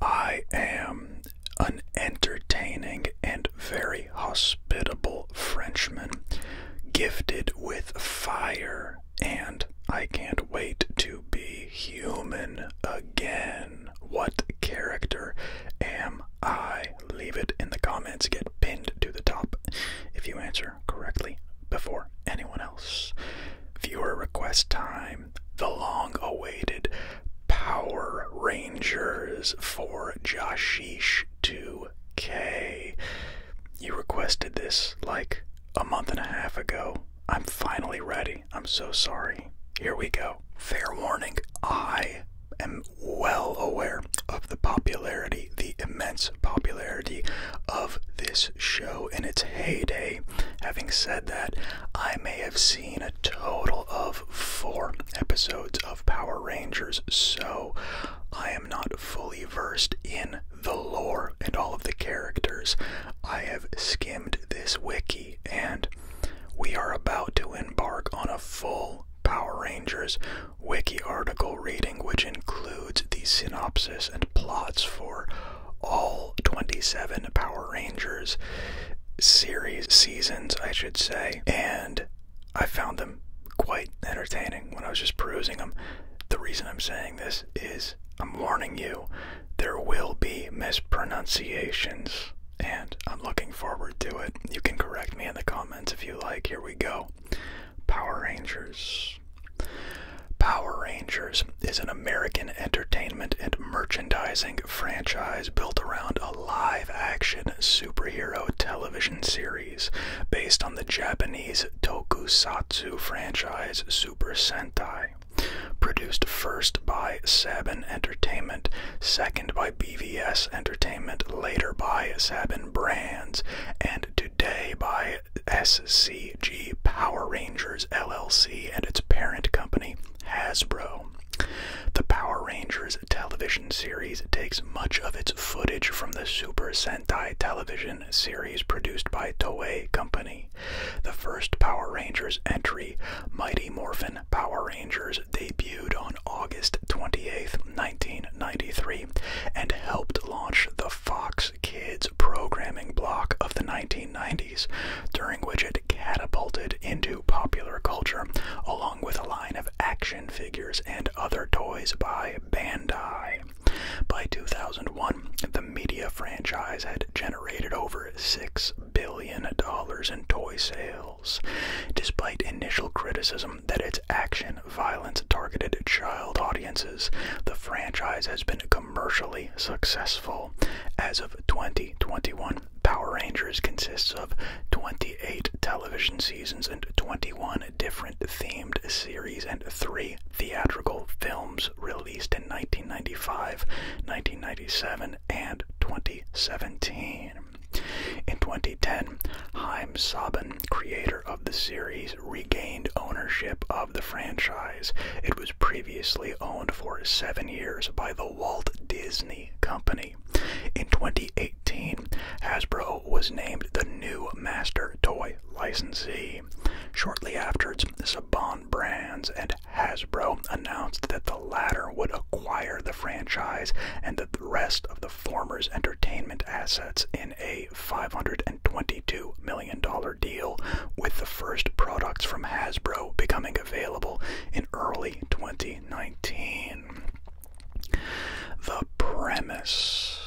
I am an entertaining and very hospitable Frenchman, gifted with fire, and I can't wait to be human again. What character am I? Leave it in the comments, get pinned to the top if you answer correctly before anyone else. Viewer request time the long awaited Power Rangers for Joshish 2K. You requested this like a month and a half ago. I'm finally ready. I'm so sorry. Here we go. Fair warning, I am well aware of the popularity, the immense popularity of this show in its heyday. Having said that, I may have seen a total of four episodes of Power Rangers, so I am not fully versed in the lore and all of the characters. I have skimmed this wiki, and we are about to embark on a full Power Rangers wiki article reading, which includes the synopsis and plots for all 27 Power Rangers series seasons, I should say, and I found them quite entertaining when I was just perusing them. The reason I'm saying this is I'm warning you, there will be mispronunciations, and I'm looking forward to it. You can correct me in the comments if you like. Here we go Power Rangers. Power Rangers is an American entertainment and merchandising franchise built around a live action superhero television series based on the Japanese tokusatsu franchise Super Sentai. Produced first by Saban Entertainment, second by BVS Entertainment, later by Saban Brands, and today by SC AEG Power Rangers LLC and its parent company, Hasbro. The Power Rangers television series takes much of its footage from the Super Sentai television series produced by Toei Company. The first Power Rangers entry, Mighty Morphin Power Rangers, debuted on August 28, 1993, and helped launch the Fox Kids programming block of the 1990s, during which it catapulted into popular culture, along with a line of action figures and other toys by Bandai. By 2001, the media franchise had generated over $6 billion in toy sales. Despite initial criticism that its action violence targeted child audiences, the franchise has been commercially successful. As of 2021, Power Rangers consists of 28 television seasons and 21 different themed series and three theatrical films released in 1995, 1997, and 2017. In 2010, Heim Sabin, creator of the series, regained ownership of the franchise. It was previously owned for seven years by the Walt Disney Company. In 2018, Hasbro was named the new master toy licensee. Shortly afterwards, Saban Brands and Hasbro announced that the latter would acquire the franchise and the rest of the former's entertainment assets in a 522 Million million deal, with the first products from Hasbro becoming available in early 2019. The premise.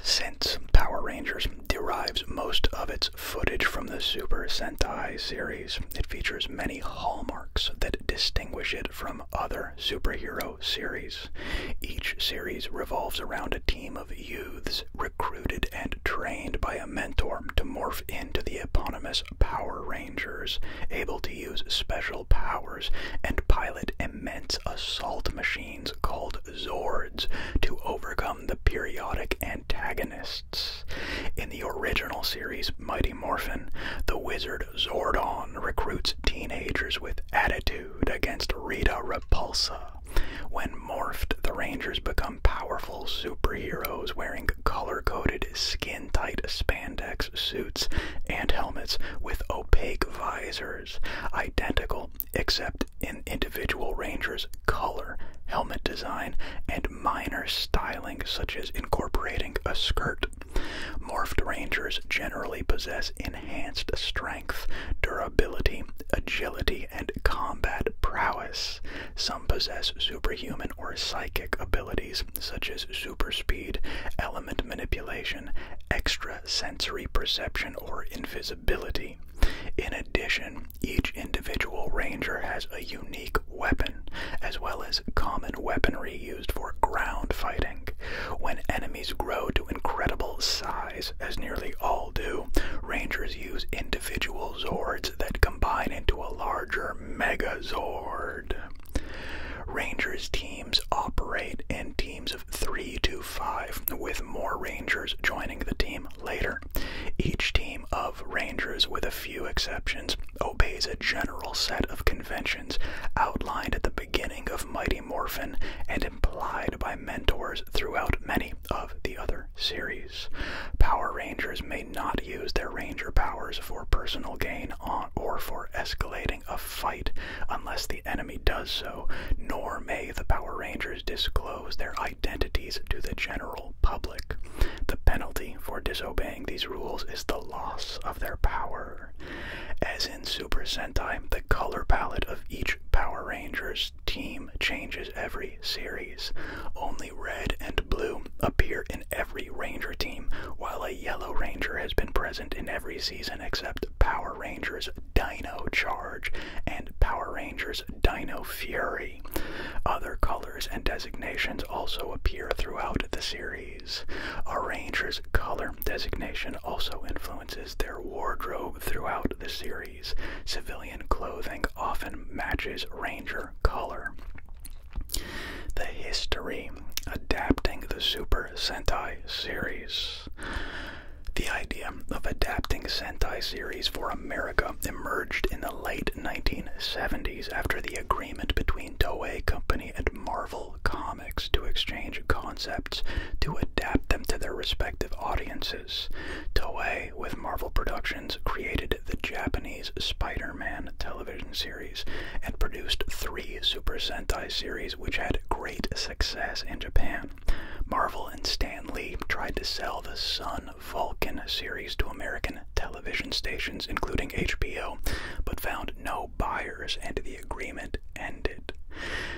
Since Power Rangers derives most of its footage from the Super Sentai series, it features many hallmarks that distinguish it from other superhero series. Each series revolves around a team of youths recruited and trained by a mentor to morph into the eponymous Power Rangers, able to use special powers and pilot immense assault machines called Zords to overcome the periodic antagonists. In the original series Mighty Morphin, the wizard Zordon recruits teenagers with attitude against Rita Repulsa when morphed, the Rangers become powerful superheroes wearing color coded, skin tight spandex suits and helmets with opaque visors, identical except in individual Rangers' color, helmet design, and minor styling, such as incorporating a skirt. Morphed Rangers generally possess enhanced strength, durability, agility, and combat prowess. Some possess superhuman or psychic abilities, such as super speed, element manipulation, extrasensory perception, or invisibility. In addition, each individual ranger has a unique weapon, as well as common weaponry used for ground fighting. When enemies grow to incredible size, as nearly all do, rangers use individual Zords that combine into a larger Megazord. Rangers teams operate in teams of three to five, with more Rangers joining the team later. Each team of Rangers, with a few exceptions, obeys a general set of conventions outlined at the beginning of Mighty Morphin and implied by mentors throughout many of the other series. Power Rangers may not use their ranger powers for personal gain or for escalating a fight unless the enemy does so, nor may the Power Rangers disclose their identities to the general public. The penalty for disobeying these rules is the loss of their power. As in Super Sentai, the color palette of each Power Ranger's team changes every series. Only red and blue appear in every Ranger team, while a yellow Ranger has been present in every season except Power Rangers Dino Charge and Power Rangers Dino Fury. Other colors and designations also appear throughout the series. A Ranger's color designation also influences their wardrobe throughout the series series. Civilian clothing often matches Ranger color. The history adapting the Super Sentai series. The idea of adapting Sentai series for America emerged in the late 1970s after the agreement between Toei Company and Marvel Comics to exchange concepts to adapt them to their respective audiences. Toei, with Marvel Productions, created the Japanese Spider Man television series and produced three Super Sentai series which had great success in Japan. Marvel and Stan Lee tried to sell the Sun Vulcan series to American television stations, including HBO, but found no buyers and the agreement ended.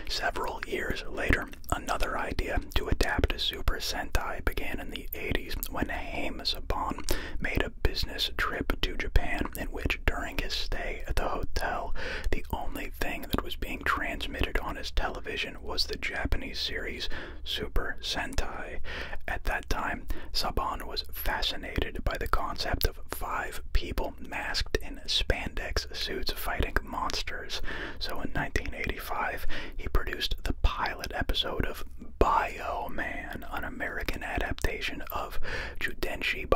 Several years later, Another idea to adapt Super Sentai began in the 80s when Haim Saban made a business trip to Japan in which during his stay at the hotel, the only thing that was being transmitted on his television was the Japanese series Super Sentai. At that time, Saban was fascinated by the concept of five people masked in spandex suits fighting monsters. So in 1980, he produced the pilot episode of Bio Man, an American adaptation of Judenchi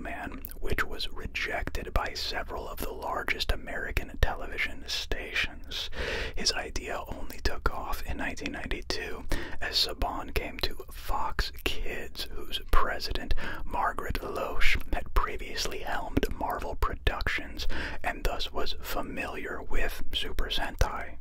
Man, which was rejected by several of the largest American television stations. His idea only took off in 1992 as Saban came to Fox Kids, whose president, Margaret Loesch, had previously helmed Marvel productions and thus was familiar with Super Sentai.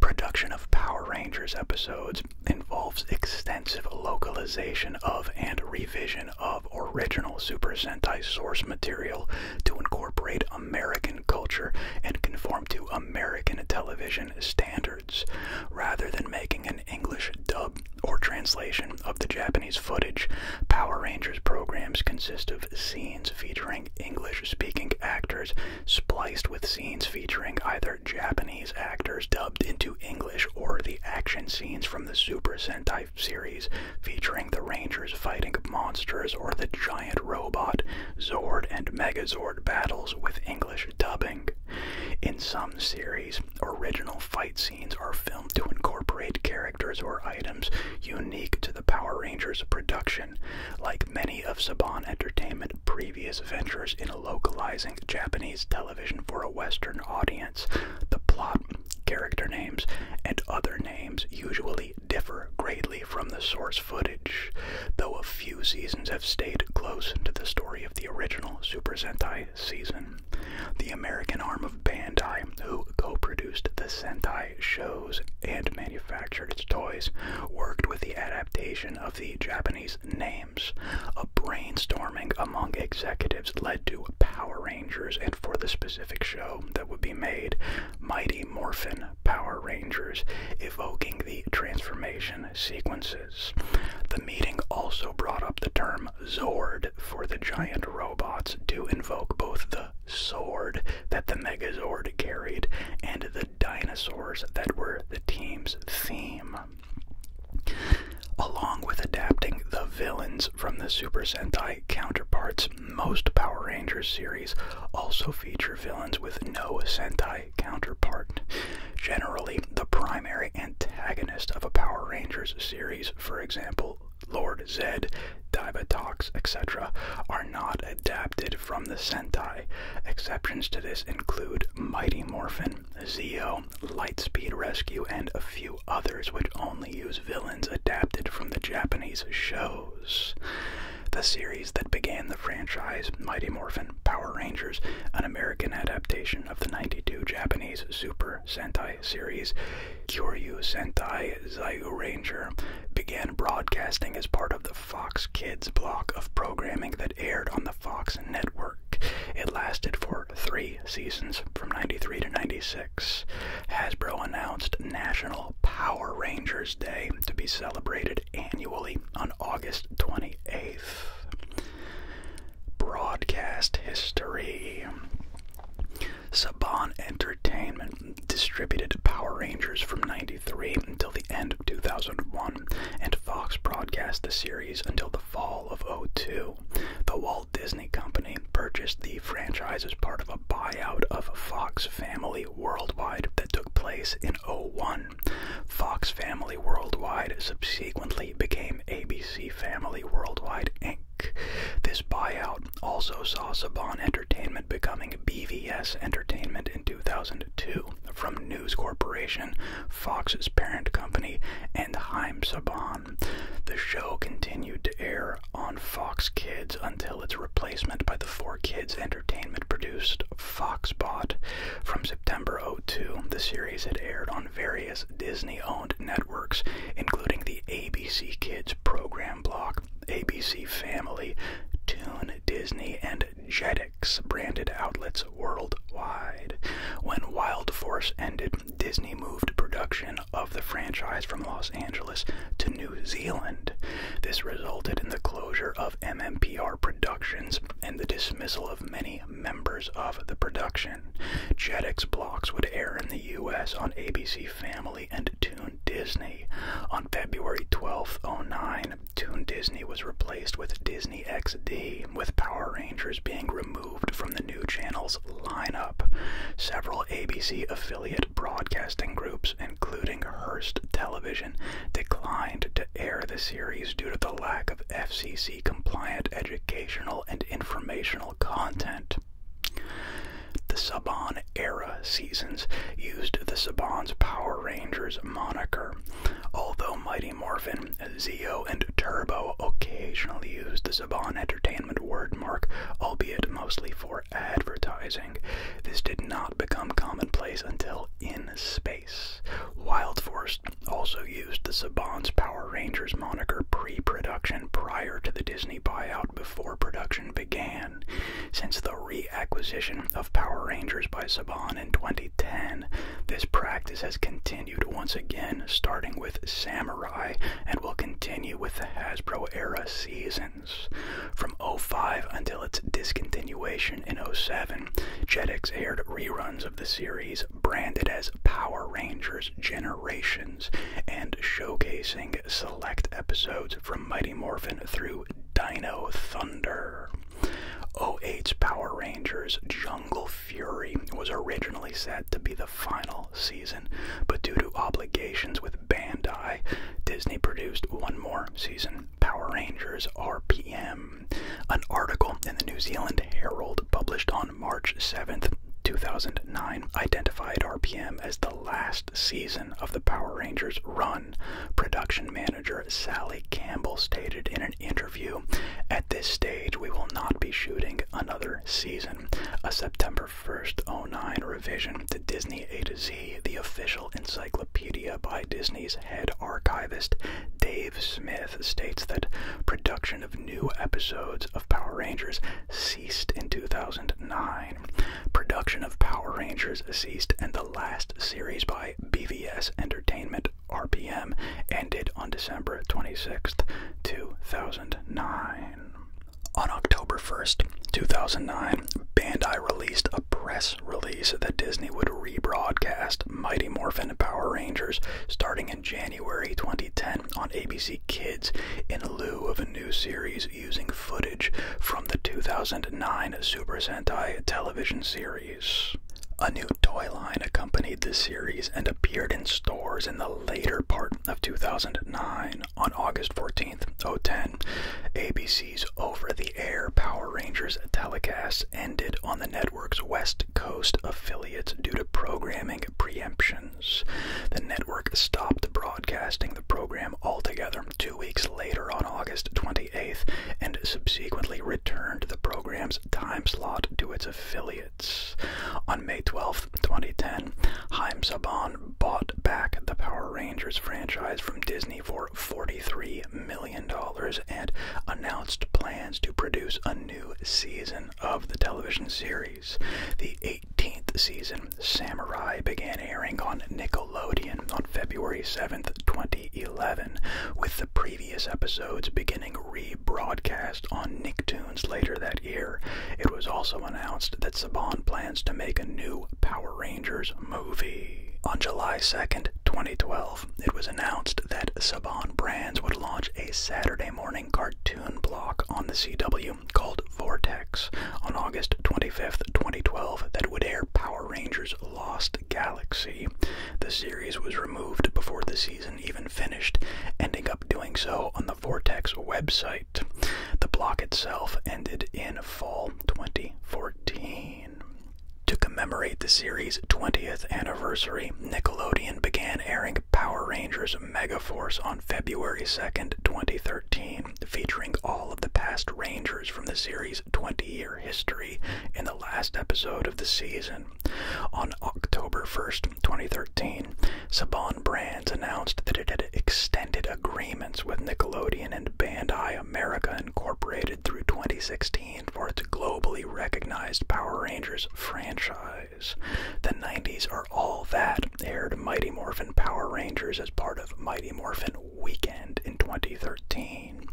Production of Power Rangers episodes involves extensive localization of and revision of original Super Sentai source material to incorporate American culture and conform to American television standards, rather than making an English dub or translation of the Japanese footage. Power Rangers programs consist of scenes featuring English speaking actors spliced with scenes featuring either Japanese actors dubbed into English or the action scenes from the Super Sentai series featuring the Rangers fighting monsters or the giant robot, Zord, and Megazord battles with English dubbing. In some series, original fight scenes are filmed to incorporate characters or items unique to the Power Rangers production, like many of Saban Entertainment's previous ventures in localizing Japanese television for a Western audience. The plot, character names, and other names usually differ greatly from the source footage, though a few seasons have stayed close to the story of the original Super Sentai season. The American arm of Bandai, who co produced the Sentai show, and manufactured its toys, worked with the adaptation of the Japanese names. A brainstorming among executives led to Power Rangers, and for the specific show that would be made, Mighty Morphin Power Rangers, evoking the transformation sequences. The meeting also brought up the term Zord for the giant robots to invoke both the sword that the Megazord carried and the dinosaurs that were the team's theme. Along with adapting the villains from the Super Sentai counterparts, most Power Rangers series also feature villains with no Sentai counterpart. Generally, the primary antagonist of a Power Rangers series, for example, Lord Zed, Divatox, etc., are not adapted from the Sentai. Exceptions to this include Mighty Morphin, Zeo, Lightspeed Rescue, and a few others which only use villains adapted from the Japanese shows. The series that began the franchise, Mighty Morphin Power Rangers, an American adaptation of the 92 Japanese Super Sentai series, Kyoryu Sentai Zyuranger began broadcasting as part of the Fox Kids block of programming that aired on the Fox network. It lasted for three seasons, from 93 to 96. Hasbro announced National Power Rangers Day to be celebrated annually on August 28th. Broadcast history. Saban Entertainment distributed Power Rangers from 93 until the end of 2001, and Fox broadcast the series until the fall of 02. The Walt Disney Company purchased the franchise as part of a buyout of Fox Family Worldwide that took place in 01. Fox Family Worldwide subsequently became ABC Family Worldwide Inc. This buyout also saw Saban Entertainment becoming BVS Entertainment in 2002 from News Corporation, Fox's parent company, and Heim Saban. The show continued to air on Fox Kids until its replacement by the 4 Kids Entertainment produced Foxbot. From September 02, the series had aired on various Disney owned networks, including the ABC Kids program block, ABC Family, Toon Disney, and Jetix branded outlets worldwide. When Wild Force ended, Disney moved production of the franchise from Los Angeles to New Zealand. This resulted in the closure of MMPR Productions and the dismissal of many members of the production. Jetix blocks would air in the U.S. on ABC Family and Toon Disney. On February 12, 09, Toon Disney was replaced with Disney XD, with Power Rangers being removed from the new channel's lineup. Several ABC affiliate broadcasting groups, including Hearst Television, declined to air the series due to the lack of FCC compliant educational and informational content. The Saban era seasons used the Saban's Power Rangers moniker, although Mighty Morphin, Zeo, and Turbo occasionally used the Saban Entertainment wordmark, albeit mostly for advertising. This did not become commonplace until In Space. Wild Force also used the Saban's Power Rangers moniker pre-production prior to the Disney buyout before production began. Since the reacquisition of Power Rangers by Saban in 2010, this practice has continued once again, starting with Samurai, and will continue with the Hasbro era seasons. From 05 until its discontinuation in 07, Jetix aired reruns of the series branded as Power Rangers Generation and showcasing select episodes from Mighty Morphin through Dino Thunder. 08's Power Rangers Jungle Fury was originally set to be the final season, but due to obligations with Bandai, Disney produced one more season, Power Rangers RPM. An article in the New Zealand Herald published on March 7th, 2009 identified RPM as the last first season of the Power Rangers run, production manager Sally Campbell stated in an interview At this stage, we will not be shooting another season. A September 1st, 09 revision to Disney A to Z, the official encyclopedia by Disney's head archivist, Dave Smith, states that production of new episodes of Power Rangers ceased in 2009 Production of Power Rangers ceased, and the last series by BVS Entertainment RPM ended on December 26, 2009. On October 1, 2009, Bandai released a press release that Disney would rebroadcast Mighty Morphin Power Rangers starting in January 2010 on ABC Kids in lieu of a new series using footage from the 2009 Super Sentai television series. A new toy line accompanied the series and appeared in stores in the later part of 2009. On August 14th, 2010, ABC's over the air Power Rangers telecast ended on the network's West Coast affiliates due to programming preemption. The network stopped broadcasting the program altogether two weeks later on August 28th and subsequently returned the program's time slot to its affiliates. On May 12, 2010, Haim Saban bought back the Power Rangers franchise from Disney for $43 million and announced plans to produce a new season of the television series. The 18th season, Samurai, began airing on Nickelodeon on February 7th, 2011, with the previous episodes beginning rebroadcast on Nicktoons later that year. It was also announced that Saban plans to make a new Power Rangers movie. On July 2nd, 2012, it was announced that Saban Brands would launch a Saturday morning cartoon block on the CW called Vortex on August 25th, 2012, that would air Power Rangers Lost Galaxy. The series was removed before the season even finished, ending up doing so on the Vortex website. The block itself ended in fall 2014. To commemorate the series' 20th anniversary, Nickelodeon began airing Power Rangers Megaforce on February 2nd, 2013 featuring all of the past Rangers from the series' 20 year history in the last episode of the season. On October 1st, 2013, Saban Brands announced that it had extended agreements with Nickelodeon and Bandai America Incorporated through 2016 for its globally recognized Power Rangers franchise. The 90s are all that aired Mighty Morphin Power Rangers as part of Mighty Morphin Weekend in 2013.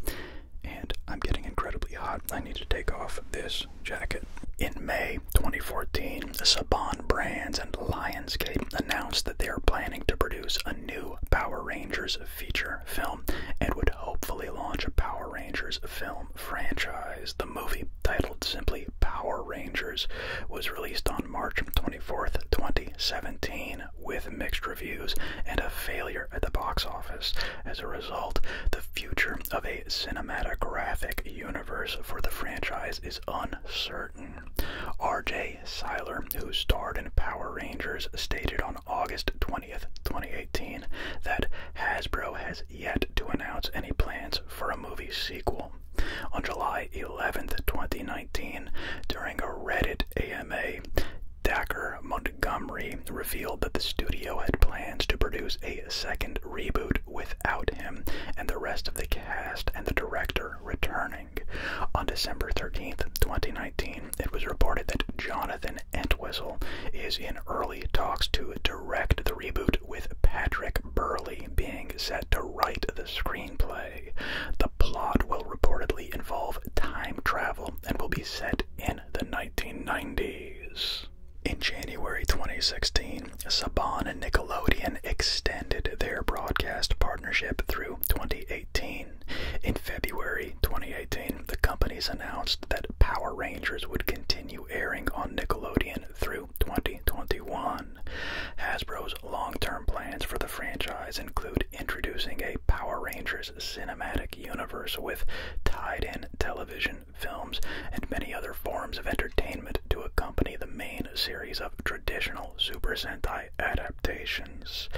And I'm getting incredibly hot. I need to take off this jacket. In May 2014, Saban Brands and Lionsgate announced that they are planning to produce a new Power Rangers feature film and would hopefully launch a Power Rangers film franchise. The movie, titled simply Power Rangers, was released on March 20. 24th, 2017, with mixed reviews and a failure at the box office. As a result, the future of a cinematographic universe for the franchise is uncertain. R.J. Seiler, who starred in Power Rangers, stated on August 20th, 2018, that Hasbro has yet to announce any plans for a movie sequel. On July 11, 2019, during a Reddit AMA, Dacre Montgomery revealed that the studio had plans to produce a second reboot without him and the rest of the cast and the director returning. On December 13, 2019, it was reported that Jonathan Entwistle is in early talks to direct the reboot with Patrick Burley being set to write the screenplay. The plot will reportedly involve time travel and will be set in the 1990s. In January 2016, Saban and Nickelodeon extended their broadcast partnership through 2018. In February 2018, the companies announced that Power Rangers would continue airing on Nickelodeon through 2021. Hasbro's long term plans for the franchise include introducing a Power Rangers cinematic universe with tied in television, films, and many other forms of entertainment to accompany the main series of traditional Super Sentai adaptations.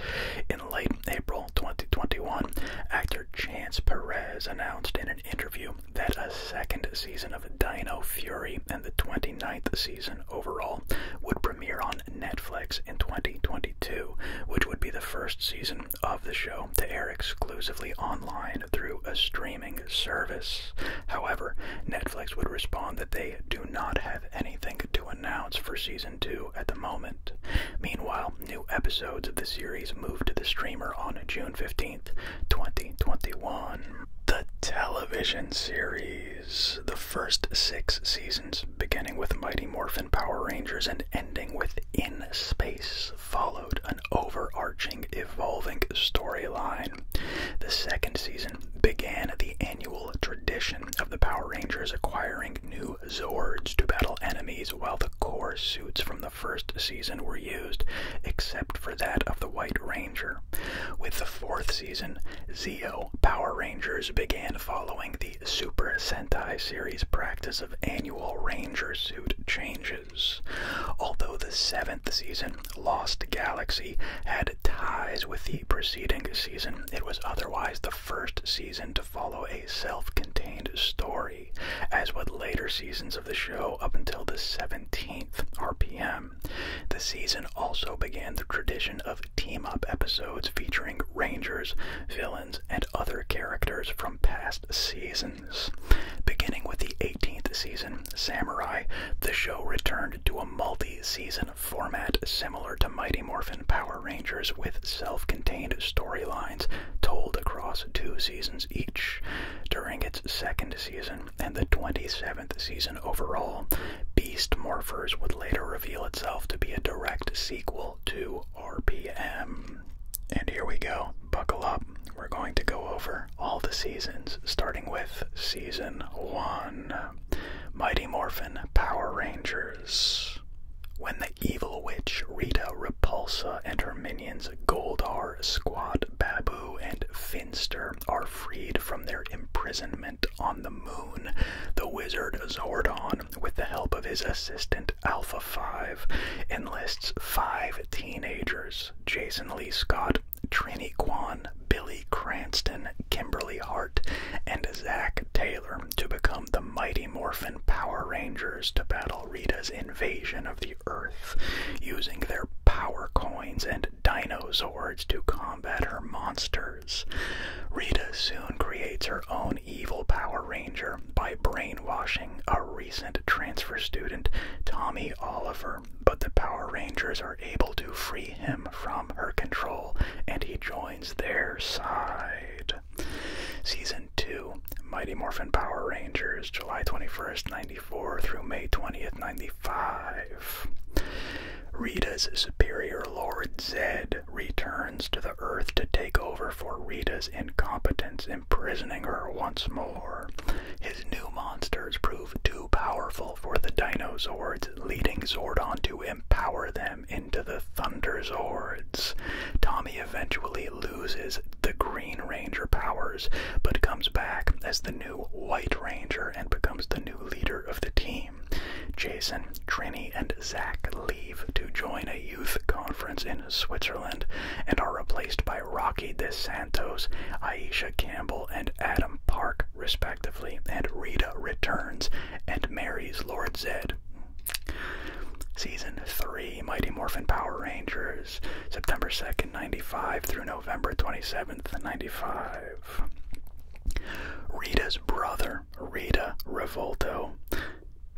In late April 2021, actor Chance Perez announced in an interview that a second season of Dino Fury the 29th season overall would premiere on Netflix in 2022, which would be the first season of the show to air exclusively online through a streaming service. However, Netflix would respond that they do not have anything to announce for season 2 at the moment. Meanwhile, new episodes of the series moved to the streamer on June 15, 2021. The television series the first six seasons, beginning with Mighty Morphin Power Rangers and ending with In Space, followed an overarching, evolving storyline. The second season began the annual tradition of the Power Rangers acquiring new Zords to battle enemies while the core suits from the first season were used, except for that of the White Ranger. With the fourth season, Zeo Power Rangers began following the Super Sentai series practice of annual Ranger suit changes. Although the seventh season, Lost Galaxy, had ties with the preceding season, it was otherwise the first season to follow a self contained story, as with later seasons of the show up until the 17th RPM. The season also began the tradition of team up episodes featuring Rangers, villains, and other characters from past seasons. Beginning with the 18th season, Samurai, the show returned to a multi season format similar to Mighty Morphin Power Rangers with self contained storylines told across two seasons each. During its second season, and the 27th season overall, Beast Morphers would later reveal itself to be a direct sequel to RPM. And here we go. Buckle up. We're going to go over all the seasons, starting with Season 1 Mighty Morphin Power Rangers. When the evil witch Rita Repulsa and her minions Goldar, Squat, Babu, and Finster are freed from their imprisonment on the moon. The wizard Zordon, with the help of his assistant Alpha 5, enlists five teenagers Jason Lee Scott, Trini Kwan, Billy Cranston, Kimberly Hart, and Zack Taylor to become the Mighty Morphin Power Rangers to battle Rita's invasion of the Earth using their power coins and and dinosaurs to combat her monsters. Rita soon creates her own evil Power Ranger by brainwashing a recent transfer student, Tommy Oliver, but the Power Rangers are able to free him from her control and he joins their side. Season 2 Mighty Morphin Power Rangers, July 21st, 94 through May 20th, 95. Rita's superior Lord Zed returns to the Earth to take over for Rita's incompetence, imprisoning her once more. His new monsters prove too powerful for the Dinozords, leading Zordon to empower them into the Thunder Zords. Tommy eventually loses the Green Ranger powers, but comes back as the new White Ranger and becomes the new leader of the team. Jason, Trini, and Zach leave to join a youth conference in Switzerland and are replaced by Rocky DeSantos, Aisha Campbell, and Adam Park, respectively. And Rita returns and marries Lord Zed. Season 3 Mighty Morphin Power Rangers, September 2nd, 95 through November 27th, 95. Rita's brother, Rita Revolto,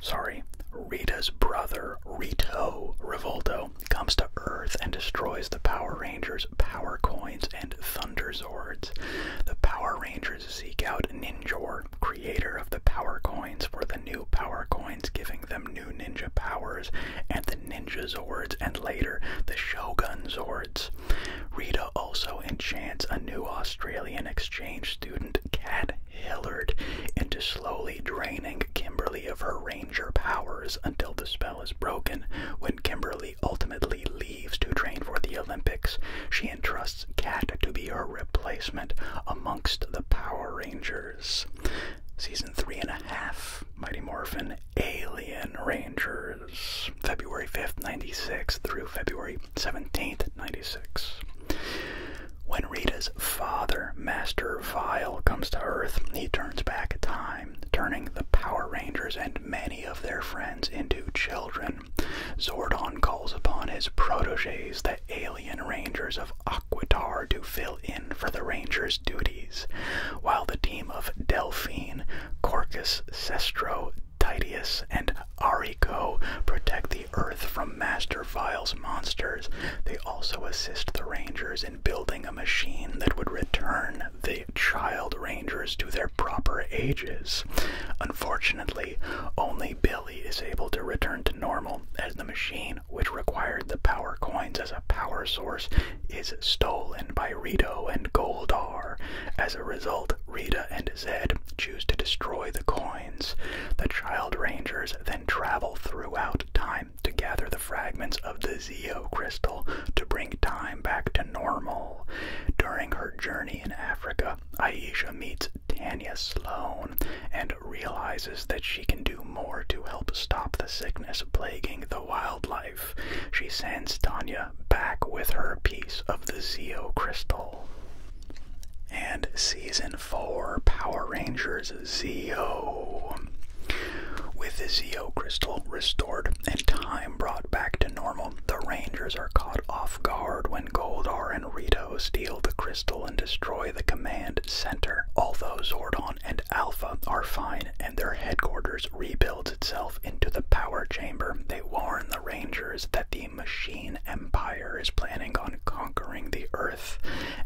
sorry, Rita's brother, Rito Revolto, comes to Earth and destroys the Power Rangers' power coins and Thunder Zords. The Power Rangers seek out Ninjor, creator of the power coins, for the new power coins giving them new ninja powers, and the ninja zords, and later the shogun zords. Rita also enchants a new Australian exchange student, Cat Hillard, into slowly draining Kimberly of her ranger powers until the spell is broken. When Kimberly ultimately leaves to train for the Olympics, she entrusts Cat to be her replacement amongst the Power Rangers. Season three and a half Mighty Morphin Alien Rangers. February 5, 96 through February 17, 96. When Rita's father, Master Vile, comes to Earth, he turns back time, turning the Power Rangers and many of their friends into children. Zordon calls upon his proteges, the alien Rangers of Aquatar, to fill in for the Rangers' duties while the team of Delphine, Corcus, Sestro, Titius, and Arico protect the Earth from Master Vile's monsters. They also assist the Rangers in building a machine that would return the child Rangers to their proper ages. Unfortunately, only Billy is able to return to normal, as the machine, which required the power coins as a power source, is stolen by Rita and Goldar. As a result, Rita and Zed choose to destroy the coins. The Child Rangers then travel throughout time to gather the fragments of the Zeo crystal to bring time back to normal. During her journey in Africa, Aisha meets Tanya Sloan and realizes that she can do more to help stop the sickness plaguing the wildlife she sends Tanya back with her piece of the Zeo crystal. And season 4 Power Rangers Zeo. With the Zeo crystal restored and time brought back to normal, the Rangers are caught off guard when Goldar and Rito steal the crystal and destroy the command center. Although Zordon and Alpha are fine and their headquarters rebuilt builds itself into the power chamber, they warn the Rangers that the Machine Empire is planning on conquering the Earth,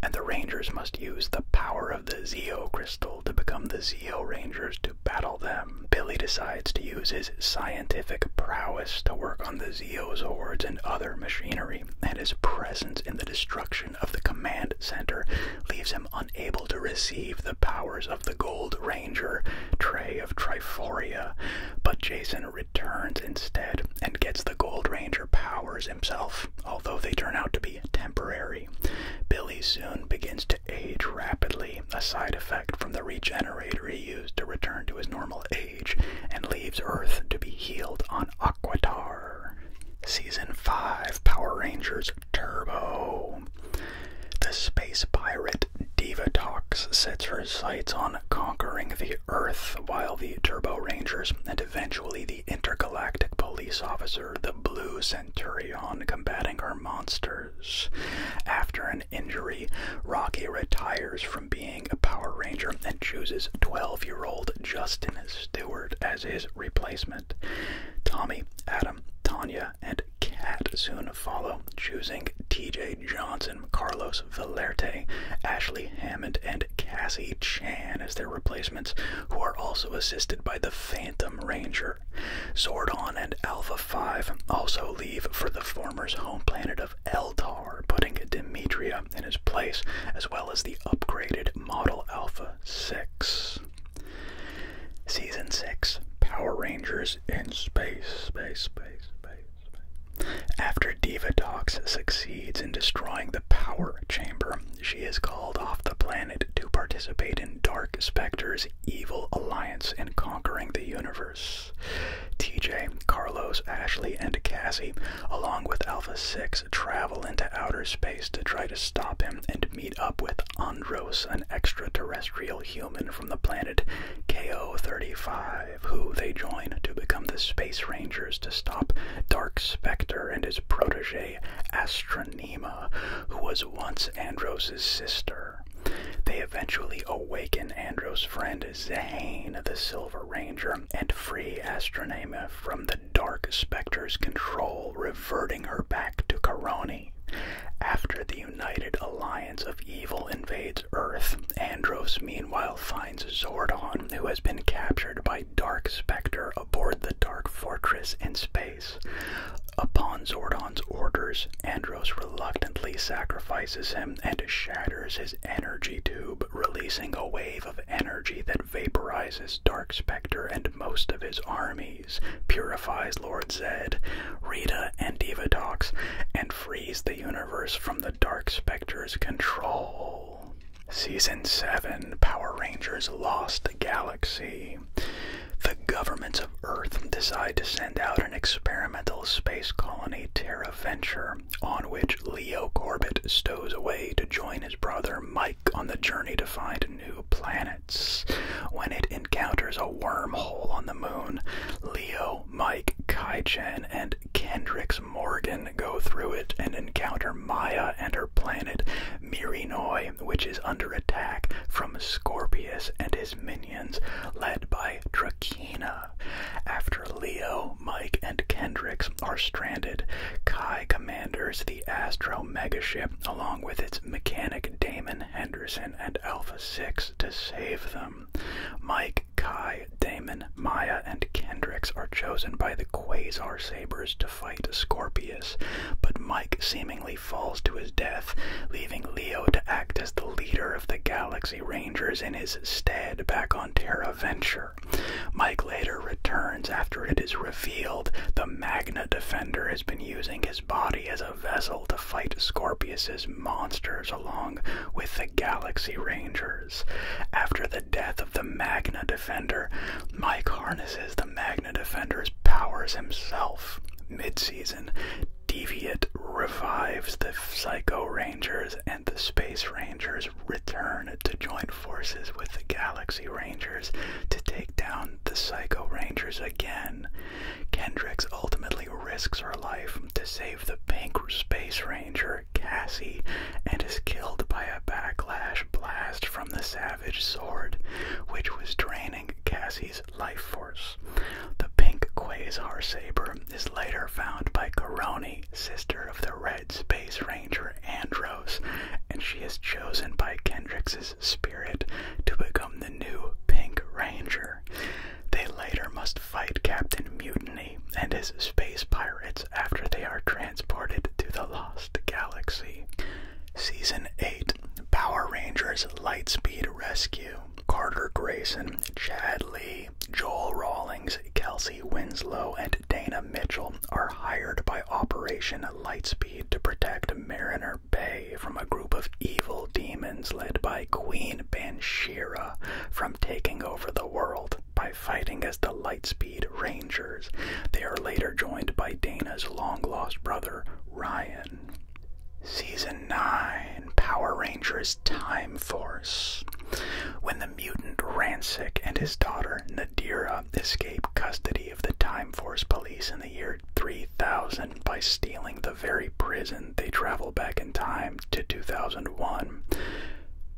and the Rangers must use the power of the Zeo Crystal to become the Zeo Rangers to battle them. Billy decides to use his scientific prowess to work on the Zeozords and other machinery, and his presence in the destruction of the command center leaves him unable to receive the powers of the Gold Ranger, Trey of Triforia, but Jason returns instead and gets the Gold Ranger powers himself, although they turn out to be temporary. Billy soon begins to age rapidly, a side effect from the regenerator he used to return to his normal age, and leaves Earth to be healed on Aquatar. Season 5 Power Rangers Turbo. The space pirate Divatox sets her sights on conquering the Earth, while the Turbo Rangers and eventually the intergalactic police officer, the Blue Centurion, combating her monsters. After an injury, Rocky retires from being a Power Ranger and chooses 12 year old Justin Stewart as his replacement. Tommy, Adam, Tanya, and Cat soon follow, choosing TJ Johnson, Carlos Valerte, Ashley Hammond, and Cassie Chan as their replacements, who are also assisted by the Phantom Ranger. Swordon, and Alpha 5 also leave for the former's home planet of Eltar, putting Demetria in his place, as well as the upgraded Model Alpha 6. Season 6 Power Rangers in Space, After Diva Space. succeeds in destroying the power chamber, she is called off the planet to participate in Dark Specter's evil alliance in conquering the universe. TJ, Carlos, Ashley, and Cassie, along with Alpha 6, travel into outer space to try to stop him and meet up with Andros, an extraterrestrial human from the planet KO-35, who they join to become the Space Rangers to stop Dark Spectre and his protege, Astronema, who was once Andros' sister. They eventually awaken Andros' friend Zane, the Silver Ranger, and free Astronema from the Dark Spectre's control, reverting her back to Caroni. After the united alliance of evil invades Earth, Andros meanwhile finds Zordon, who has been captured by Dark Spectre aboard the Dark Fortress in space. Upon Zordon's orders, Andros reluctantly sacrifices him and shatters his energy tube, releasing a wave of energy that vaporizes Dark Spectre and most of his army purifies Lord Zed, Rita, and Diva Divadox, and frees the universe from the Dark Spectre's control. Season 7 Power Rangers Lost Galaxy. The governments of Earth decide to send out an experimental space colony Terra Venture, on which Leo Corbett stows away to join his brother Mike on the journey to find new planets. When it encounters a wormhole on the moon, Leo, Mike, Kaichen, and Kendricks Morgan go through it and encounter Maya and her planet Mirinoy, which is under attack from Scorpius and his minions, led by Drakena. After Leo, Mike, and Kendricks are stranded, Kai commanders the Astro megaship along with its mechanic Damon Henderson and Alpha 6 to save them. Mike, Kai, Damon, Maya, and Kendricks are chosen by the Quasar Sabres to fight Scorpius, but Mike seemingly falls to his death, leaving Leo to act as the leader of the Galaxy Rangers in his stead back on Terra Venture. Mike later returns after it is revealed the Magna Defender has been using his body as a vessel to fight Scorpius's monsters along with the Galaxy Rangers. After the death of the Magna Defender, Mike harnesses the Magna Defender's powers himself. Mid-season, Deviant revives the Psycho Rangers and the Space Rangers return to join forces with the Galaxy Rangers to take down the Psycho Rangers again. Kendricks ultimately risks her life to save the pink space ranger, Cassie, and is killed by a backlash blast from the Savage Sword, which was draining Cassie's life force. The pink Quasar Saber is later found by Coroni, sister of the red space ranger Andros, and she is chosen by Kendricks's spirit to become the new Pink Ranger. They later must fight Captain Mutiny and his space pirates after they are transported to the Lost Galaxy. Season 8 Power Rangers Lightspeed Rescue. Carter Grayson, Chad Lee, Joel Rawlings, Kelsey Winslow, and Dana Mitchell are hired by Operation Lightspeed to protect Mariner Nightmare from a group of evil demons led by Queen Bansheera from taking over the world by fighting as the Lightspeed Rangers. They are later joined by Dana's long lost brother, Ryan. Season 9 Power Rangers Time Force. When the mutant Rancic and his daughter Nadira escape custody of the Time Force police in the year 3000 by stealing the very prison they travel back in time to 2001,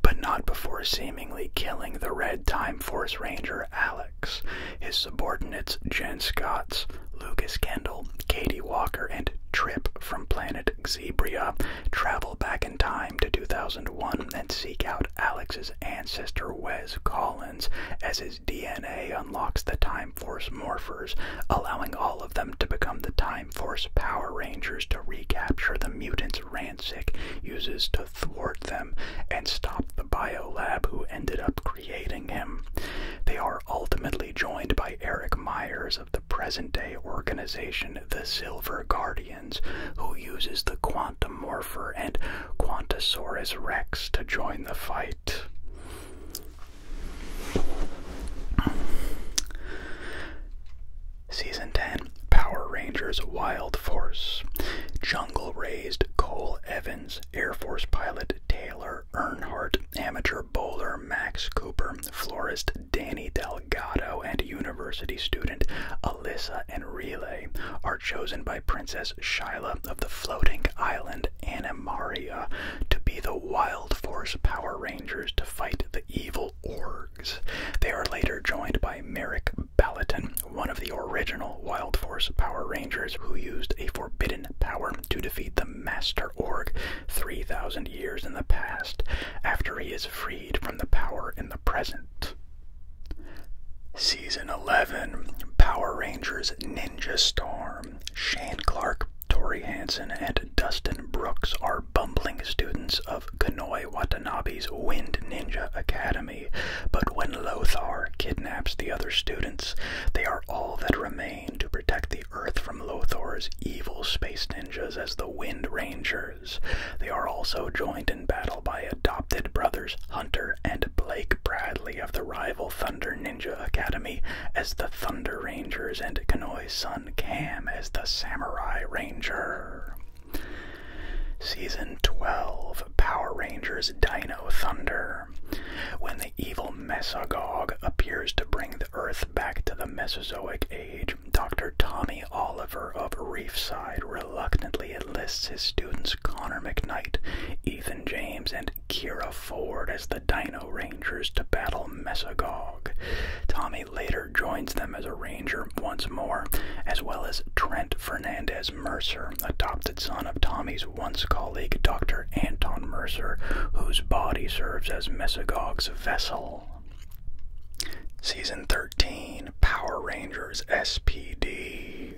but not before seemingly killing the Red Time Force Ranger Alex, his subordinates Jen Scotts, Lucas Kendall, Katie Walker, and Trip from planet Xebria travel back in time to 2001 and seek out Alex's ancestor Wes Collins as his DNA unlocks the Time Force Morphers, allowing all of them to become the Time Force Power Rangers to recapture the mutants Rancic uses to thwart them and stop the Bio Lab, who ended up creating him. They are ultimately joined by Eric Myers of the present day organization the Silver Guardians, who uses the Quantum Morpher and Quantasaurus Rex to join the fight. Season 10 Power Rangers Wild Force. Jungle raised Cole Evans, Air Force pilot Taylor Earnhardt, amateur bowler Max Cooper, florist Danny Delgado, and university student Alyssa and Enrile are chosen by. Princess Shyla of the floating island Animaria to be the Wild Force Power Rangers to fight the evil orgs. They are later joined by Merrick Balaton, one of the original Wild Force Power Rangers who used a forbidden power to defeat the Master Org 3,000 years in the past, after he is freed from the power in the present. Season 11 Power Rangers Ninja Storm Shane Clark, Tori Hansen, and Dustin Brooks are bumbling students of Kanoi Watanabe's Wind Ninja Academy, but when Lothar kidnaps the other students, they are all that remain to protect the Earth from Lothar's evil space ninjas as the Wind Rangers. They are also joined in battle by adopted brothers Hunter and Blake Bradley of the rival Thunder Academy as the Thunder Rangers and Kanoi's son Cam as the Samurai Ranger. Season 12 Power Rangers Dino Thunder. When the evil Mesogog appears to bring the Earth back to the Mesozoic Age, Dr. Tommy Oliver of Reefside reluctantly enlists his students Connor McKnight, Ethan James, and Kira Ford as the Dino Rangers to battle Mesogog. Tommy later joins them as a ranger once more, as well as Trent Fernandez Mercer, adopted son of Tommy's once colleague Dr. Anton Mercer, whose body serves as Mesogog's vessel. Season 13 Power Rangers SPD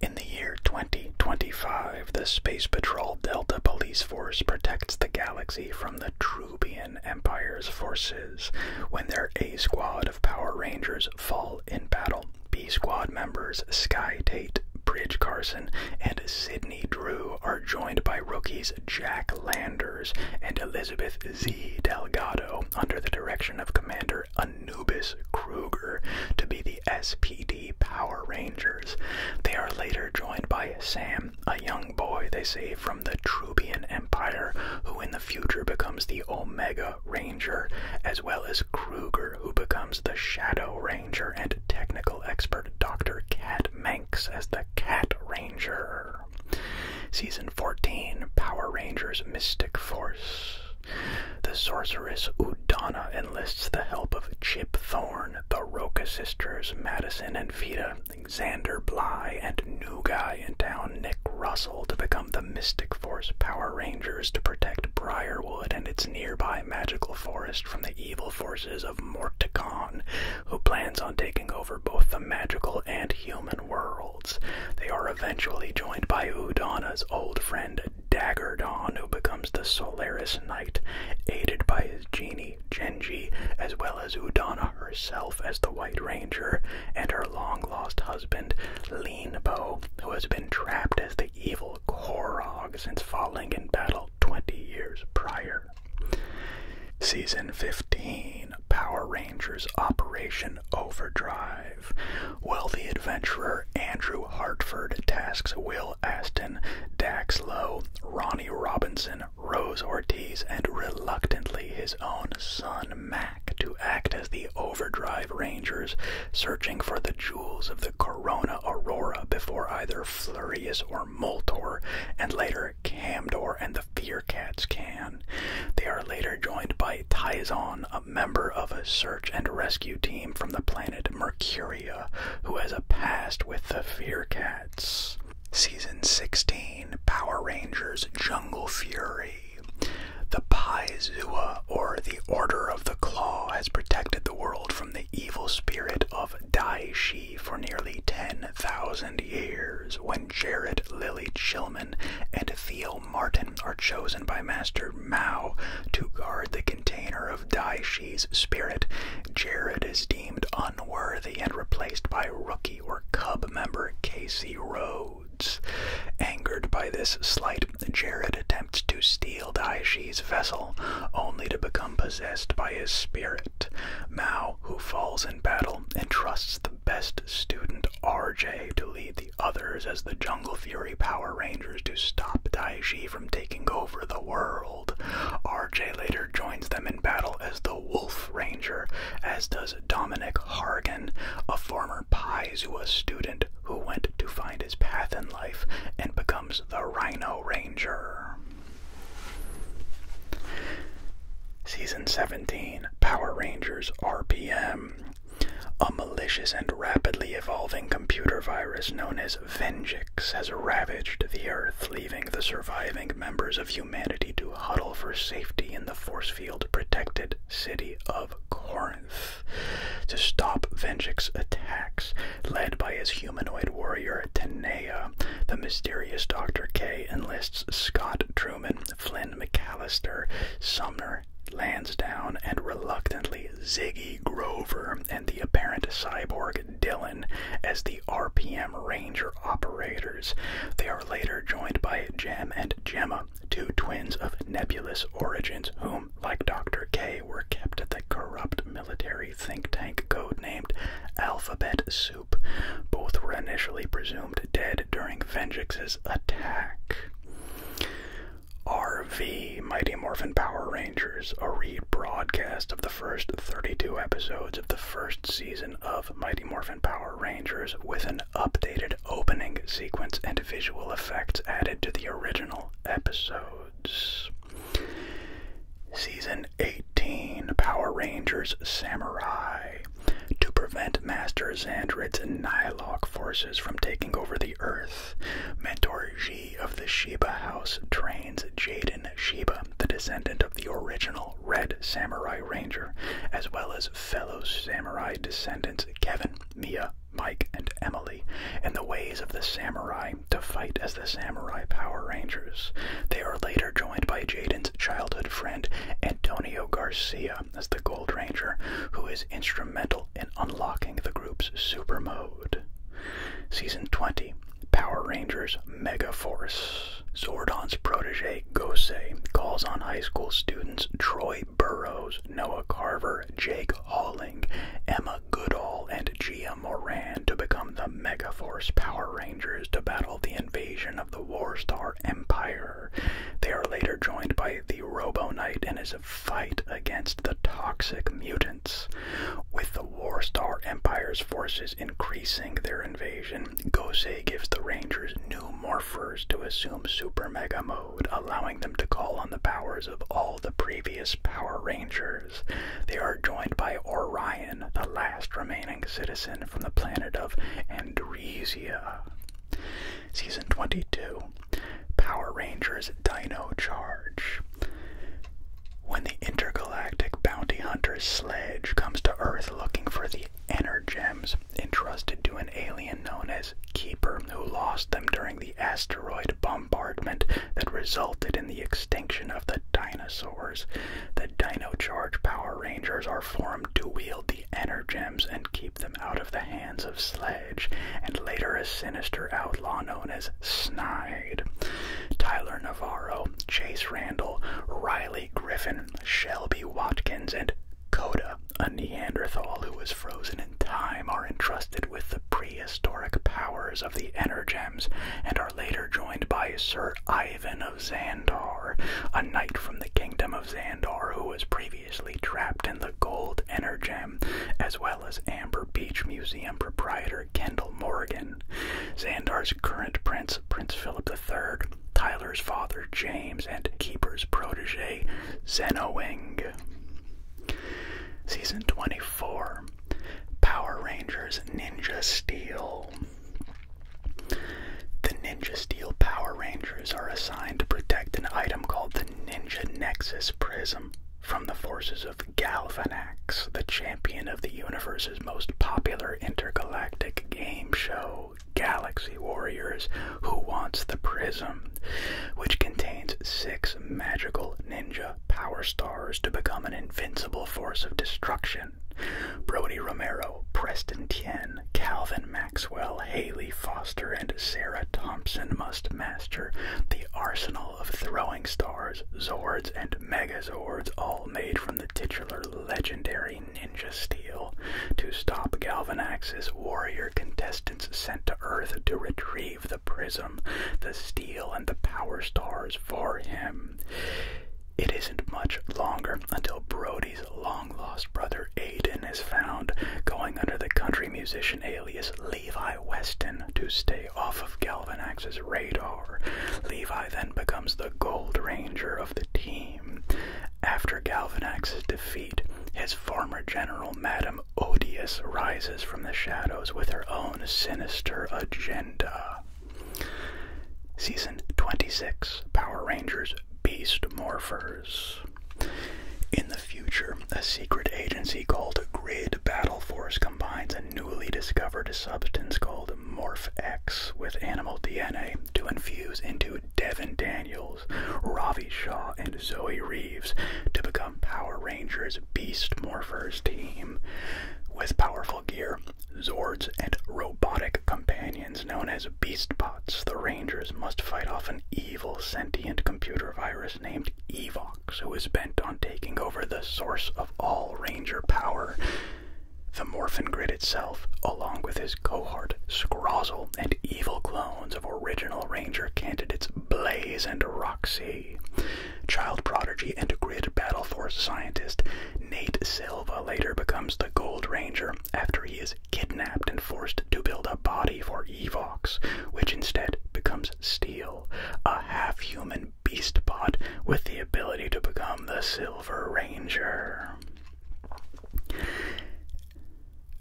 in the year 2025, the Space Patrol Delta Police Force protects the galaxy from the Trubian Empire's forces. When their A squad of Power Rangers fall in battle, B squad members Sky Tate, Bridge Carson, and Sydney Drew are joined by rookies Jack Landers and Elizabeth Z. Delgado under the direction of Commander Anubis. Anubis Kruger to be the SPD Power Rangers. They are later joined by Sam, a young boy they save from the Trubian Empire, who in the future becomes the Omega Ranger, as well as Kruger, who becomes the Shadow Ranger, and technical expert Dr. Cat Manx as the Cat Ranger. Season 14 Power Rangers Mystic Force. The sorceress Udana enlists the help of Chip Thorn, the Roca sisters, Madison and Vita, Xander Bly, and new guy in town Nick Russell to become the Mystic Force Power Rangers to protect Briarwood and its nearby magical forest from the evil forces of Morticon, who plans on taking over both the magical and human worlds. They are eventually joined by Udana's old friend Dagger Dawn, who becomes the Solaris Knight, aided by his genie, Genji, as well as Udana herself as the White Ranger, and her long lost husband, Leanbo, who has been trapped as the evil Korog since falling in battle 20 years prior. Season 15 Power Rangers Operation Overdrive the adventurer Andrew Hartford tasks Will Aston, Dax Lowe, Ronnie Robinson, Rose Ortiz, and reluctantly his own son Mac to act as the overdrive rangers, searching for the jewels of the Corona Aurora before either Flurius or Moltor, and later Camdor and the Fear Cats can. They are later joined by Tyzon, member of a search and rescue team from the planet Mercuria who has a past with the Fear Cats. Season 16 Power Rangers Jungle Fury. The Zua, or the Order of the Claw, has protected the world from the evil spirit of Dai Shi for nearly 10,000 years when Jared Lily Chilman and Theo Martin are chosen by Master Mao to guard the container of Dai Shi's spirit. Jared is deemed unworthy and replaced by rookie or cub member Casey Rhodes. Angered by this slight, Jared attempts to steal Dai Shi's vessel, only to become possessed by his spirit. Mao, who falls in battle, entrusts the best student RJ to lead the others as the Fury Power Rangers to stop Daishi from taking over the world. RJ later joins them in battle as the Wolf Ranger, as does Dominic Hargan, a former Paizua student who went to find his path in life and becomes the Rhino Ranger. Season 17 Power Rangers RPM. A malicious and rapidly evolving computer virus known as its has ravaged the earth, leaving the surviving members of humanity to huddle for safety in the force field protected city of Corinth. To stop vengeance attacks, led by his humanoid warrior Tenaya, the mysterious Dr. K enlists Scott Truman, Flynn McAllister, Sumner, Lansdowne, and reluctantly Ziggy Grover and the apparent cyborg Dylan as the RPM Ranger operators. They are later joined by Gem and Gemma, two twins of nebulous origins whom, like Dr. K, were kept at the corrupt military think tank codenamed Alphabet Soup. Both were initially presumed dead during Venjix's attack. RV Mighty Morphin Power Rangers, a rebroadcast of the first 32 episodes of the first season of Mighty Morphin Power Rangers with an updated opening sequence and visual effects added to the original episodes. Season 18 Power Rangers Samurai. To prevent Master Xandrit's Nihilok forces from taking over the Earth, Mentor G of the Sheba house trains Jaden Sheba, the descendant of the original Red Samurai Ranger, as well as fellow samurai descendants Kevin, Mia, Mike, and Emily, in the ways of the samurai to fight as the Samurai Power Rangers. They are later joined by Jaden's childhood friend Antonio Garcia as the Gold Ranger, who is instrumental in unlocking the group's super mode. Season 20 Power Rangers Mega Force. Zordon's protege, Gosei, calls on high school students Troy Burrows, Noah Carver, Jake Holling, Emma Goodall, and Gia Moran to become the Megaforce Power Rangers to battle the invasion of the Warstar Empire. They are later joined by the Robo Knight in his fight against the toxic mutant. With the War Star Empire's forces increasing their invasion, Gosei gives the Rangers new morphers to assume Super Mega Mode, allowing them to call on the powers of all the previous Power Rangers. They are joined by Orion, the last remaining citizen from the planet of Andresia. Season 22 Power Rangers Dino Charge. When the intergalactic bounty hunter's sledge comes to Earth looking for the Energems entrusted to an alien known as Keeper, who lost them during the asteroid bombardment that resulted in the extinction of the dinosaurs, the Dino Charge Power Rangers are formed to wield the Energems and keep them out of the hands of Sledge, and later a sinister outlaw known as Snide. Tyler Navarro, Chase Randall, Riley Griffin, Shelby Watkins, and Coda, a Neanderthal who was frozen in time, are entrusted with the prehistoric powers of the Energems and are later joined by Sir Ivan of Zandor, a knight from the kingdom of Zandor who was previously trapped the gold energem, as well as Amber Beach Museum proprietor Kendall Morgan. Xandar's current prince, Prince Philip III, Tyler's father James, and Keeper's protege Xenoing. Season 24 Power Rangers Ninja Steel. The Ninja Steel Power Rangers are assigned to protect an item called the Ninja Nexus Prism from the forces of Galvanax, the champion of the universe's most popular intergalactic game show, Galaxy Warriors, Who Wants the Prism, which contains six magical ninja power stars to become an invincible force of destruction. Brody Romero, Preston Tien, Calvin Maxwell, Haley Foster, and Sarah Thompson master. The arsenal of throwing stars, Zords, and Megazords, all made from the titular legendary Ninja Steel, to stop Galvanax's warrior contestants sent to Earth to retrieve the prism, the steel, and the power stars for him. It isn't much longer until Brody's long lost brother Aiden is found, going under the country musician alias Levi Weston to stay off of Galvanax's radar. Levi then becomes the Gold Ranger of the team. After Galvanax's defeat, his former general, Madame Odious, rises from the shadows with her own sinister agenda. Season 26 Power Rangers Beast Morphers. In the the future, a secret agency called Grid Battle Force combines a newly discovered substance called Morph X with animal DNA to infuse into Devin Daniels, Ravi Shaw, and Zoe Reeves to become Power Rangers Beast Morphers team. With powerful gear, Zords, and robotic companions known as Beastbots. the Rangers must fight off an evil sentient computer virus named Evox, who is bent on taking over the source of all Ranger power. The Morphin Grid itself, along with his cohort, Scrozzle, and evil clones of original Ranger candidates Blaze and Roxy. Child prodigy and Grid Battle Force scientist Nate Silva later becomes the Gold Ranger after he is kidnapped and forced to build a body for Evox, which instead becomes steel a half human beast bot with the ability to become the Silver Ranger.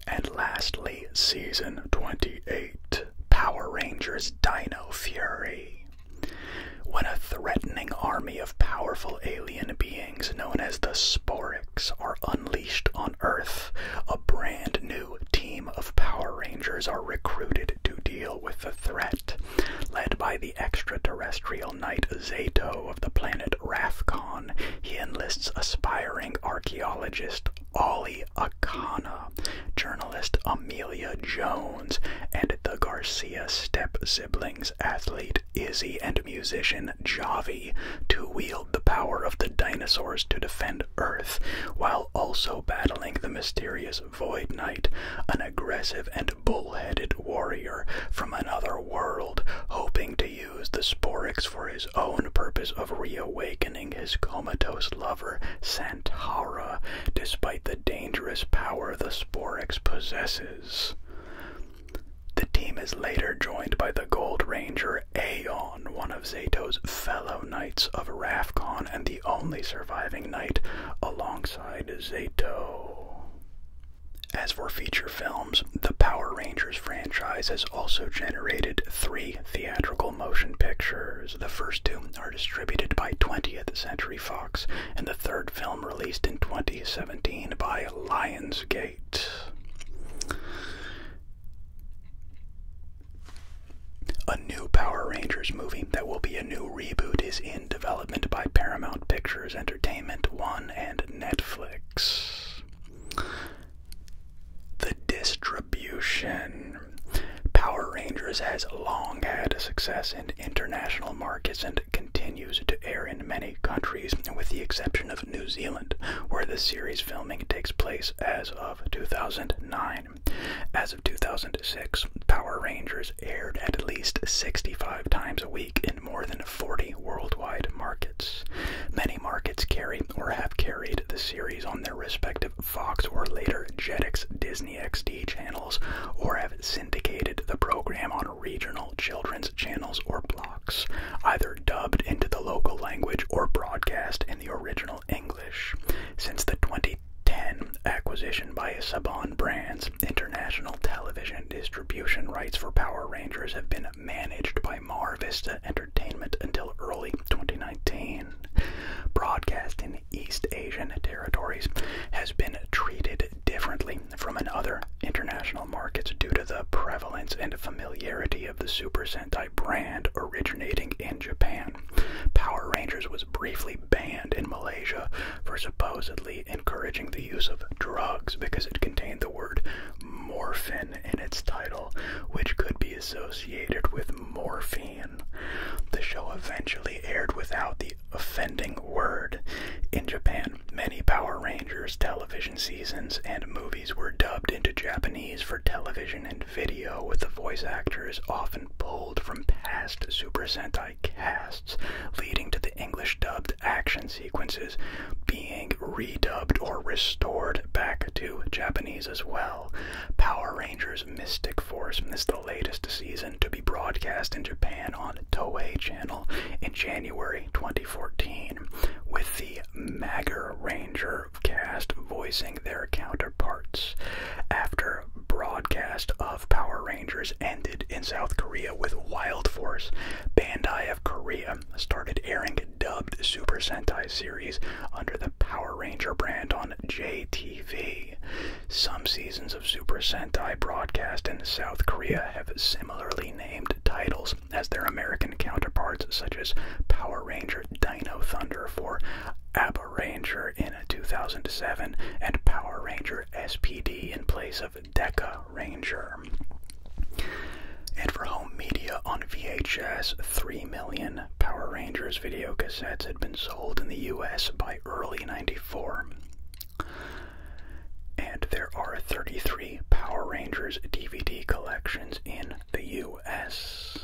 And lastly, Season 28 Power Rangers Dino Fury. When a threatening army of powerful alien beings known as the Sporix are unleashed on Earth, a brand new new team of Power Rangers are recruited to deal with the threat. Led by the extraterrestrial knight Zato of the planet Rathcon, he enlists aspiring archaeologist Ollie Akana, journalist Amelia Jones, and the Garcia step siblings athlete Izzy and musician Javi to wield the power of the dinosaurs to defend Earth while also battling the mysterious Void Knight, an aggressive and bull-headed warrior from another world, hoping to use the Sporix for his own purpose of reawakening his comatose lover, Santara, despite the dangerous power the Sporix possesses. The team is later joined by the Gold Ranger Aeon one of Zato's fellow knights of Rafcon and the only surviving knight alongside Zato. As for feature films, the Power Rangers franchise has also generated three theatrical motion pictures. The first two are distributed by 20th Century Fox, and the third film released in 2017 by Lionsgate. A new Power Rangers movie that will be a new reboot is in development by Paramount Pictures Entertainment One and Netflix. The distribution. Power Rangers has long had success in international markets and continues to air in many countries, with the exception of New Zealand, where the series filming takes place as of 2009. As of 2006, Power Rangers aired at least 65 times a week in more than 40 worldwide markets. Many markets carry or have carried the series on their respective Fox or later Jetix Disney XD channels or have syndicated the program on regional children's channels or blocks, either dubbed into the local language or broadcast in the original since the 2010 acquisition by Saban Brands, international television distribution rights for Power Rangers have been managed by Mar Vista Entertainment until early 2019. Broadcast in East Asian territories has been treated differently from in other international markets due to the prevalence and familiarity of the Super Sentai brand originating in Japan. Power Rangers was briefly banned in Malaysia for supposedly encouraging the use of drugs because it contained the word morphine in its title, which could be associated with morphine. The show eventually aired without the offending word. In Japan, many Power Rangers television seasons and movies were dubbed into Japanese for television and video, with the voice actors often pulled from past Super Sentai casts, leading to the English dubbed action sequences being redubbed or restored back to Japanese as well. Power Rangers Mystic Force is the latest season to be broadcast in Japan on Toei Channel in January 2014, with the Mager Ranger cast voicing their counterparts. After broadcast of Power Rangers ended in South Korea with Wild Force, Bandai of Korea started airing dubbed Super Sentai series under the Power Ranger brand on JTV. Some seasons of Super Sentai broadcast in South Korea have similarly named titles as their American counterparts, such as Power Ranger Dino Thunder for Ab Ranger in 2007 and Power Ranger SPD in place of Deca Ranger. And for home media on VHS, 3 million Power Rangers video cassettes had been sold in the US by early 94. And there are 33 Power Rangers DVD collections in the US.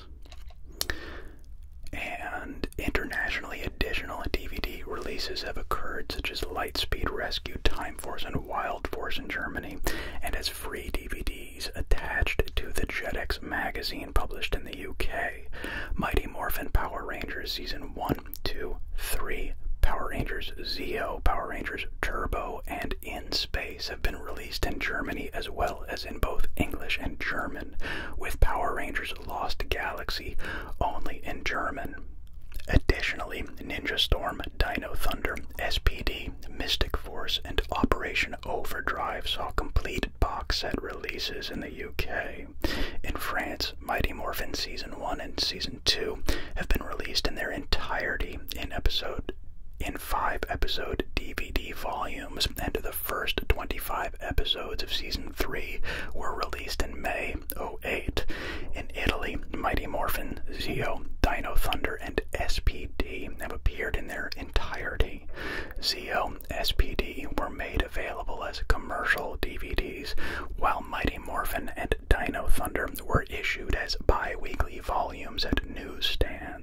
And internationally, additional DVD releases have occurred, such as Lightspeed Rescue, Time Force, and Wild Force in Germany, and as free DVDs attached to the JetX magazine published in the UK. Mighty Morphin Power Rangers Season 1, 2, 3, Power Rangers Zeo, Power Rangers Turbo, and In Space have been released released in Germany as well as in both English and German, with Power Rangers Lost Galaxy only in German. Additionally, Ninja Storm, Dino Thunder, SPD, Mystic Force, and Operation Overdrive saw completed box set releases in the UK. In France, Mighty Morphin Season 1 and Season 2 have been released in their entirety in episode five episode DVD volumes, and the first 25 episodes of season 3 were released in May 08. In Italy, Mighty Morphin, Zeo, Dino Thunder, and SPD have appeared in their entirety. Zeo, SPD were made available as commercial DVDs, while Mighty Morphin and Dino Thunder were issued as bi weekly volumes at newsstands.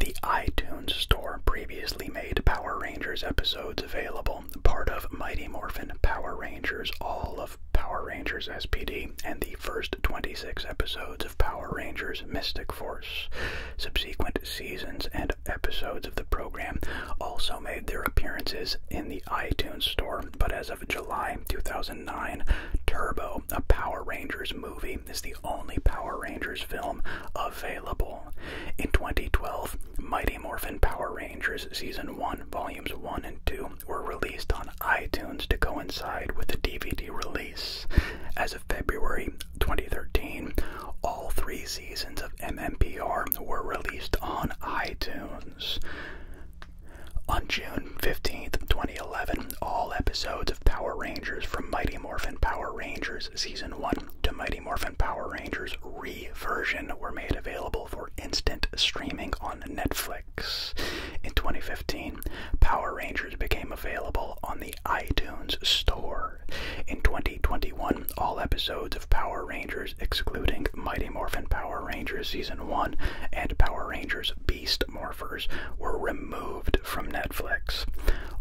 The iTunes store previously made Power Rangers episodes available, part of Mighty Morphin Power Rangers, all of Power Rangers SPD, and the first 26 episodes of Power Rangers Mystic Force. Subsequent seasons and episodes of the program also made their appearances in the iTunes store, but as of July 2009, Turbo, a Power Rangers movie, movie is the only Power Rangers film available. In 2012, Mighty Morphin Power Rangers Season 1, Volumes 1 and 2 were released on iTunes to coincide with the DVD release. As of February 2013, all three seasons of MMPR were released on iTunes. On June 15, 2011, all episodes of Power Rangers from Mighty Morphin Power Rangers Season 1 to Mighty Morphin Power Rangers reversion were made available for instant streaming on Netflix. In 2015, Power Rangers became available on the iTunes Store. In 2021, all episodes of Power Rangers, excluding Mighty Morphin Power Rangers Season 1 and Power Rangers Beast Morphers, were removed from Netflix.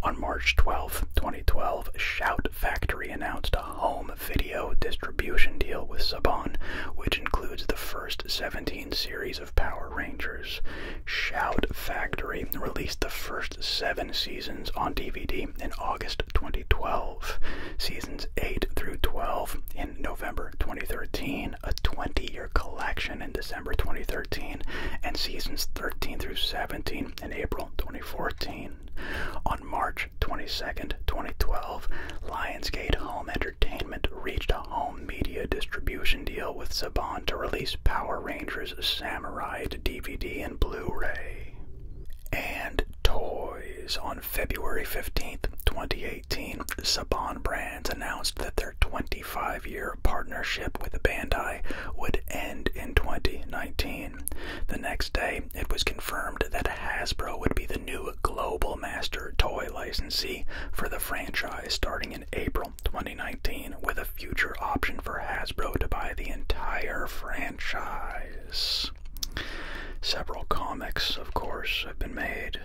On March 12, 2012, Shout Factory announced a home video distribution deal with Saban, which includes the first 17 series of Power Rangers. Shout Factory released the first seven seasons on DVD in August 2012, seasons 8 through 12 in November 2013, a 20 year collection in December. December 2013 and seasons 13 through 17 in April 2014. On March 22, 2012, Lionsgate Home Entertainment reached a home media distribution deal with Saban to release Power Rangers Samurai DVD and Blu-ray. And toys. On February 15, 2018, Saban Brands announced that their 25-year partnership with Bandai would end in 2019. The next day, it was confirmed that Hasbro would be the new global master toy licensee for the franchise starting in April 2019, with a future option for Hasbro to buy the entire franchise. Several comics, of course, have been made,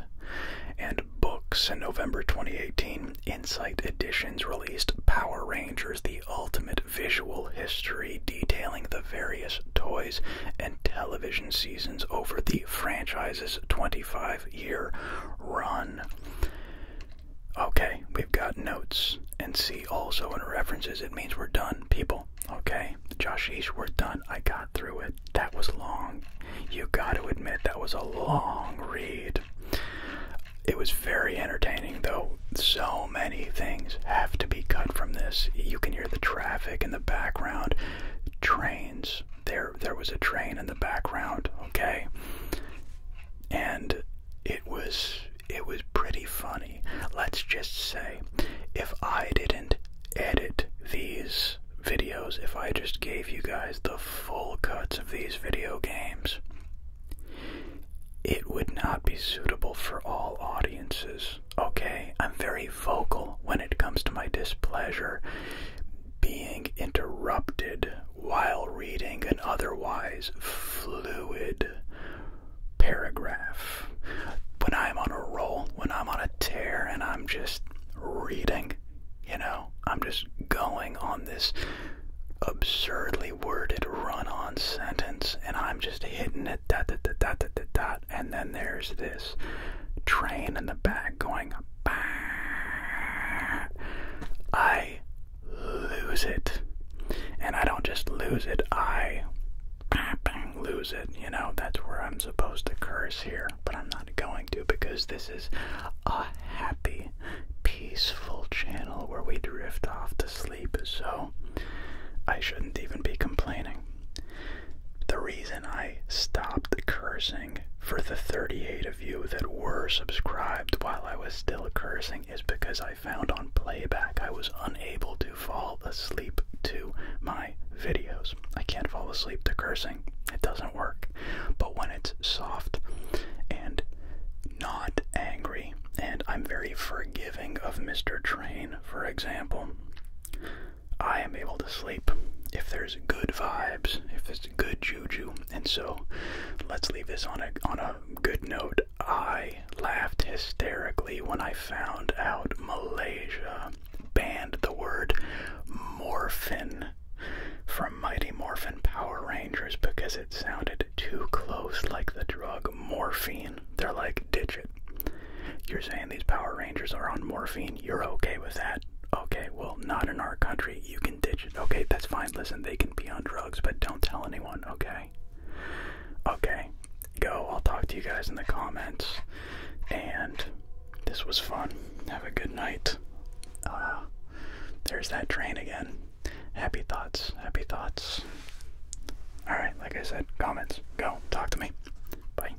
and books in November 2018, Insight Editions released Power Rangers The Ultimate Visual History, detailing the various toys and television seasons over the franchise's 25 year run. Okay, we've got notes and see also in references. It means we're done, people. Okay, Josh, we're done. I got through it. That was long. You got to admit, that was a long read it. was very entertaining, though. So many things have to be cut from this. You can hear the traffic in the background, trains. There, there was a train in the background. Okay, and it was it was pretty funny. Let's just say, if I didn't edit these videos, if I just gave you guys the full cuts of these video games, it would not be suitable for all audiences. Okay, I'm very vocal when it comes to my displeasure. Being interrupted while reading an otherwise fluid paragraph. When I'm on a roll, when I'm on a tear, and I'm just reading, you know, I'm just going on this absurdly worded run-on sentence, and I'm just hitting it dot dot dot dot dot dot, and then there's this train in the back going. Bah! I lose it, and I don't just lose it. I lose it. You know that's where I'm supposed to curse here, but I'm not going to because this is a happy peaceful channel where we drift off to sleep, so I shouldn't even be complaining. The reason I stopped cursing for the 38 of you that were subscribed while I was still cursing is because I found on playback I was unable to fall asleep to my videos. I can't fall asleep to cursing, it doesn't work. But when it's soft and not angry, and I'm very forgiving of Mr. Train, for example. I am able to sleep if there's good vibes, if there's good juju, and so let's leave this on a on a good note. I laughed hysterically when I found out Malaysia banned the word morphin from Mighty Morphin Power Rangers because it sounded too close, like the drug morphine, they're like, ditch it. You're saying these Power Rangers are on morphine, you're okay with that. Okay, well, not in our country, you can ditch it. Okay, that's fine, listen, they can be on drugs, but don't tell anyone, okay? Okay, go, I'll talk to you guys in the comments. And this was fun. Have a good night. Uh, there's that train again happy thoughts, happy thoughts. All right, like I said, comments, go, talk to me. Bye.